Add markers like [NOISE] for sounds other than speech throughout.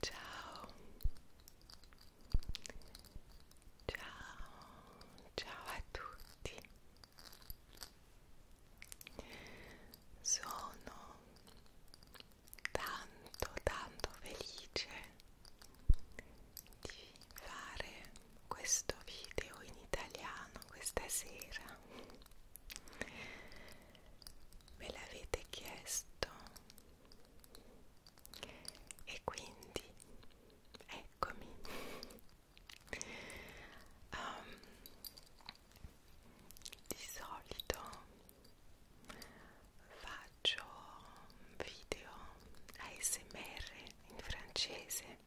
Ciao. Ciao. Ciao a tutti. Sono tanto tanto felice di fare questo video in italiano questa sera me l'avete chiesto e quindi eccomi um, di solito faccio video ASMR in francese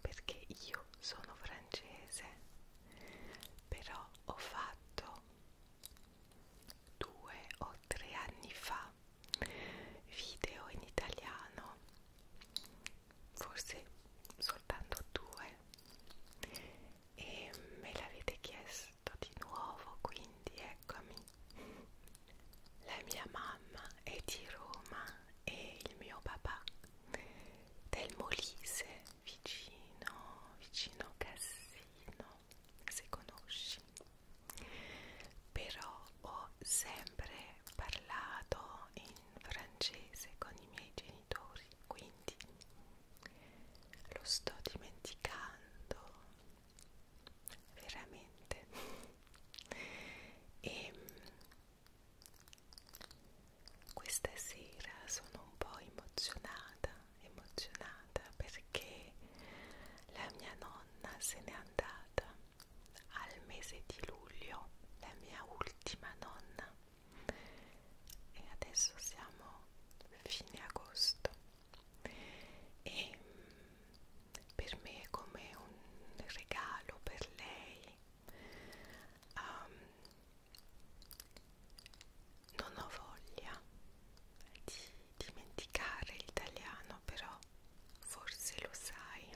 perché io sono francese però ho fatto due o tre anni fa video in italiano forse soltanto due e me l'avete chiesto di nuovo quindi eccomi la mia mamma è di Roma e il mio papà del Molise vicino vicino Cassino se conosci però ho sempre parlato in francese con i miei genitori quindi lo sto dimenticando veramente e questa sera sono un po' emozionata, emozionata perché la mia nonna se n'è andata al mese di luglio, la mia ultima nonna. E adesso siamo fine agosto e mm, per me è come un regalo per lei um, non ho voglia di dimenticare l'italiano però forse lo sai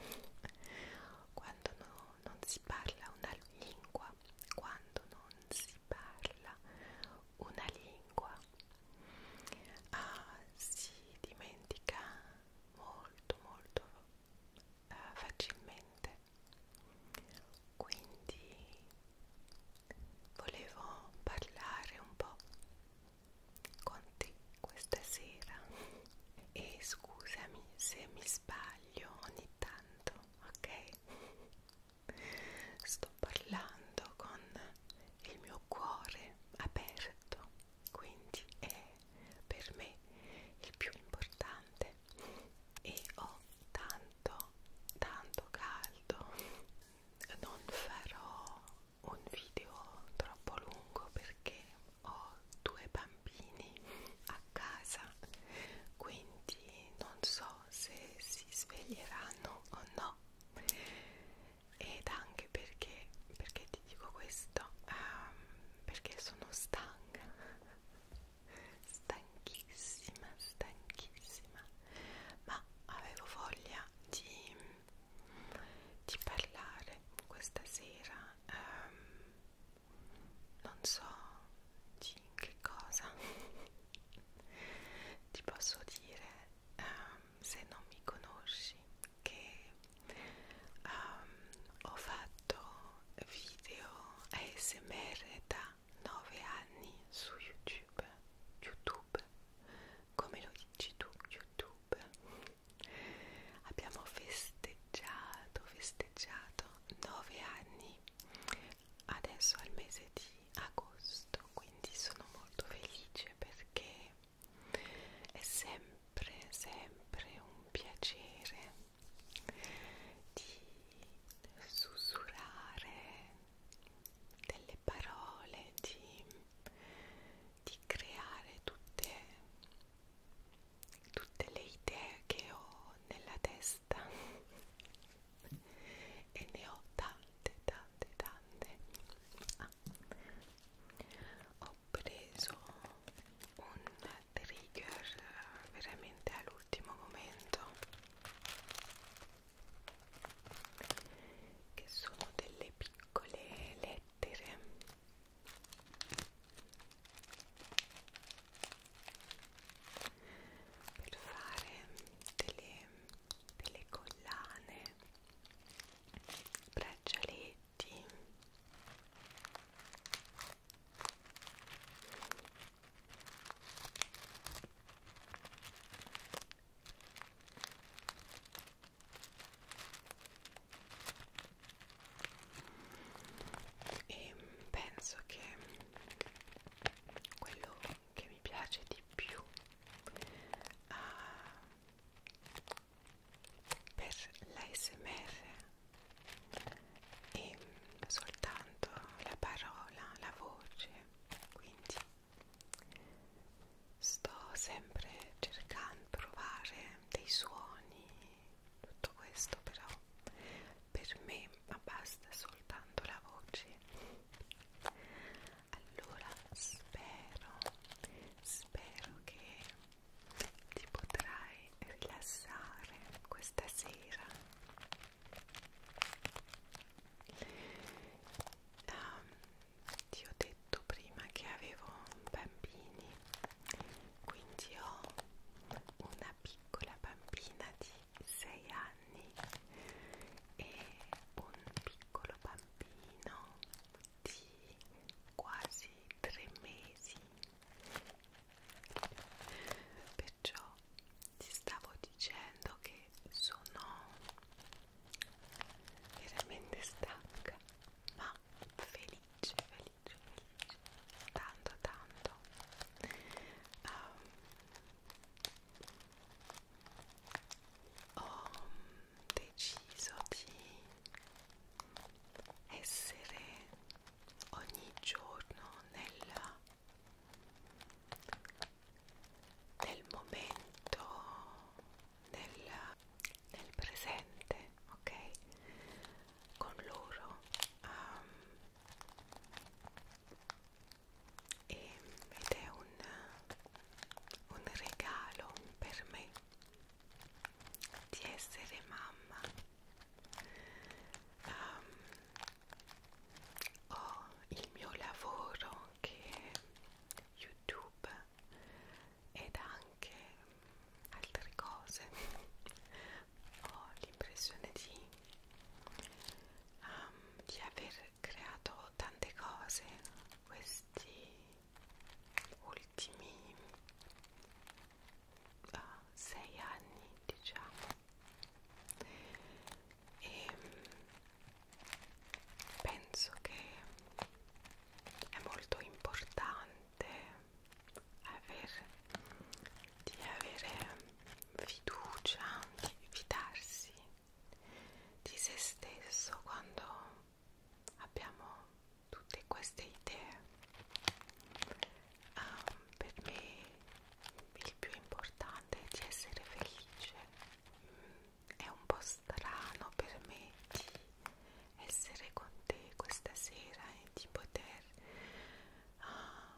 quando no, non si parla una lingua quando non si parla una lingua ah, si dimentica molto molto eh, facilmente quindi volevo parlare un po' con te questa sera [LAUGHS] e scusami se mi sbaglio ogni tanto ok sto parlando con il mio cuore aperto quindi è per me il più importante piove e ho tanto tanto caldo non farò un video troppo lungo perché ho due bambini a casa quindi non so se si sveglieranno o no ed anche perché perché ti dico questo um, perché sono stanca stanchissima stanchissima ma avevo voglia di, di parlare questa sera um, non so di che cosa [LAUGHS] ti posso dire um, se non mi conosci che um, ho fatto video ASMR da 9 anni su YouTube, YouTube, come lo dici tu, YouTube. Abbiamo festeggiato, festeggiato 9 anni adesso al mese di agosto, quindi sono molto felice perché è sempre sempre, sempre un piacere di sussurrare delle parole, di, di creare tutte, tutte le idee che ho nella testa [LAUGHS] e ne ho tante, tante, tante. Ah. Ho preso un trigger veramente all'ultimo momento che sono delle piccole lettere per fare delle, delle collane braccialetti T e penso che quello che mi piace di più uh, per l'ASMR e soltanto la parola, la voce, quindi sto sempre cercando di provare dei suoni, tutto questo però per me ma basta soltanto la voce. Allora spero, spero che ti potrai rilassare questa sera ah, ti ho detto prima che avevo bambini quindi ho una piccola bambina di 6 anni e un piccolo bambino di quasi tre mesi perciò ti stavo dicendo che sono veramente stanca ma felice felice felice tanto tanto um, ho deciso di essere ogni giorno nella, nel momento, nel, nel presente, ok? Con loro um, e, ed è un, un regalo per me di essere mamma um, ho il mio lavoro che è youtube ed anche altre cose ho l'impressione di, um, di aver creato tante cose questi ultimi uh, sei anni diciamo e mm, penso che è molto importante aver, di avere fiducia di fidarsi di se stesso quando abbiamo tutte queste idee um, per me il più importante è di essere felice mm, è un po' strano per me di essere con te questa sera e di poter uh,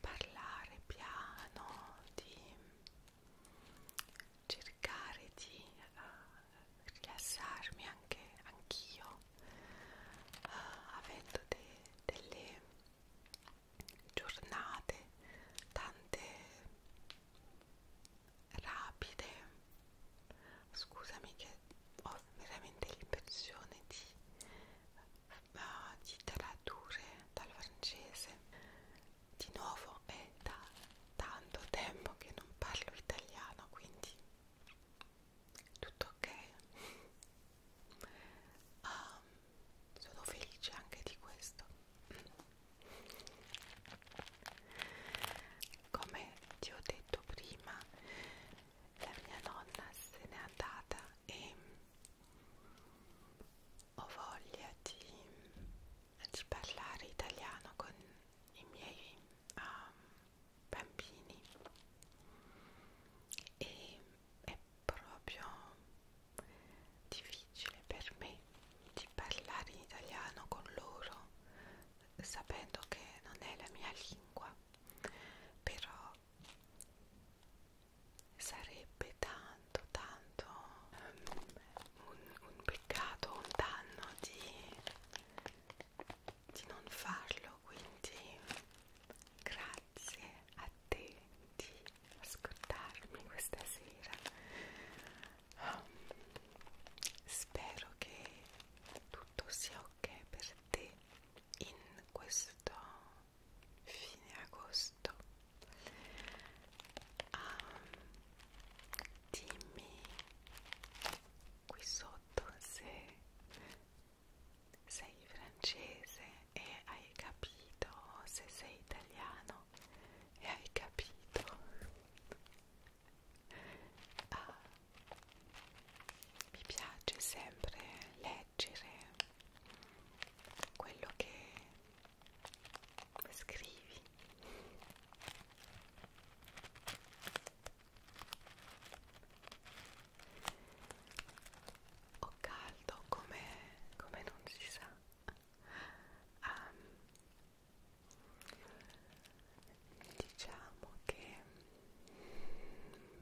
parlare piano di cercare di uh, rilassarmi anche anch'io eh, avendo de, delle giornate tante rapide scusami che ho veramente l'impressione di, uh, di tradurre dal francese di nuovo è da tanto tempo che non parlo italiano quindi tutto ok um, [LAUGHS] sono felice anche di questo come ti ho detto prima la mia nonna se n'è andata e ho voglia di, di parlare italiano con i miei um, bambini e è proprio difficile per me di parlare in italiano con loro sapendo che non è la mia lingua però sarebbe tanto tanto um, un, un peccato un danno di di non farlo, quindi grazie a te di ascoltarmi questa sera. Um, spero che tutto sia ok per te in questo fine agosto. Um, dimmi qui sotto se sei francese e hai capito se sei italiano e hai capito ah, mi piace sempre leggere quello che scrivi ho caldo come, come non si sa. Um, diciamo che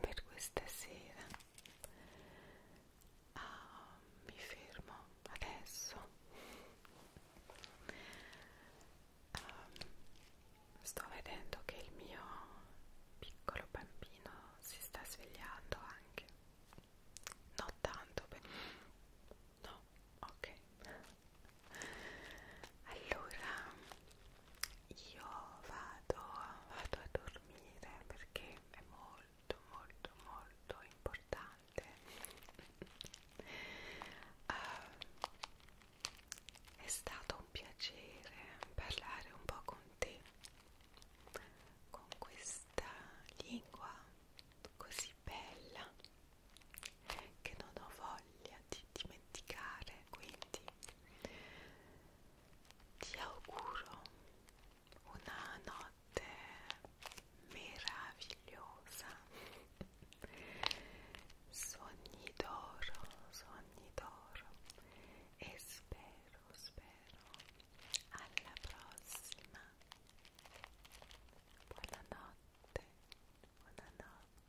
per questa sera uh, mi fermo adesso Um, sto vedendo che il mio piccolo bambino si sta svegliando anche. Non tanto, beh. no, ok. Allora io vado, vado a dormire perché è molto molto molto importante Uh, è stato un piacere parlare un po' con te, con questa lingua così bella che non ho voglia di dimenticare, quindi ti auguro una notte meravigliosa sogni d'oro, sogni d'oro e spero, spero alla prossima. Buonanotte, buonanotte.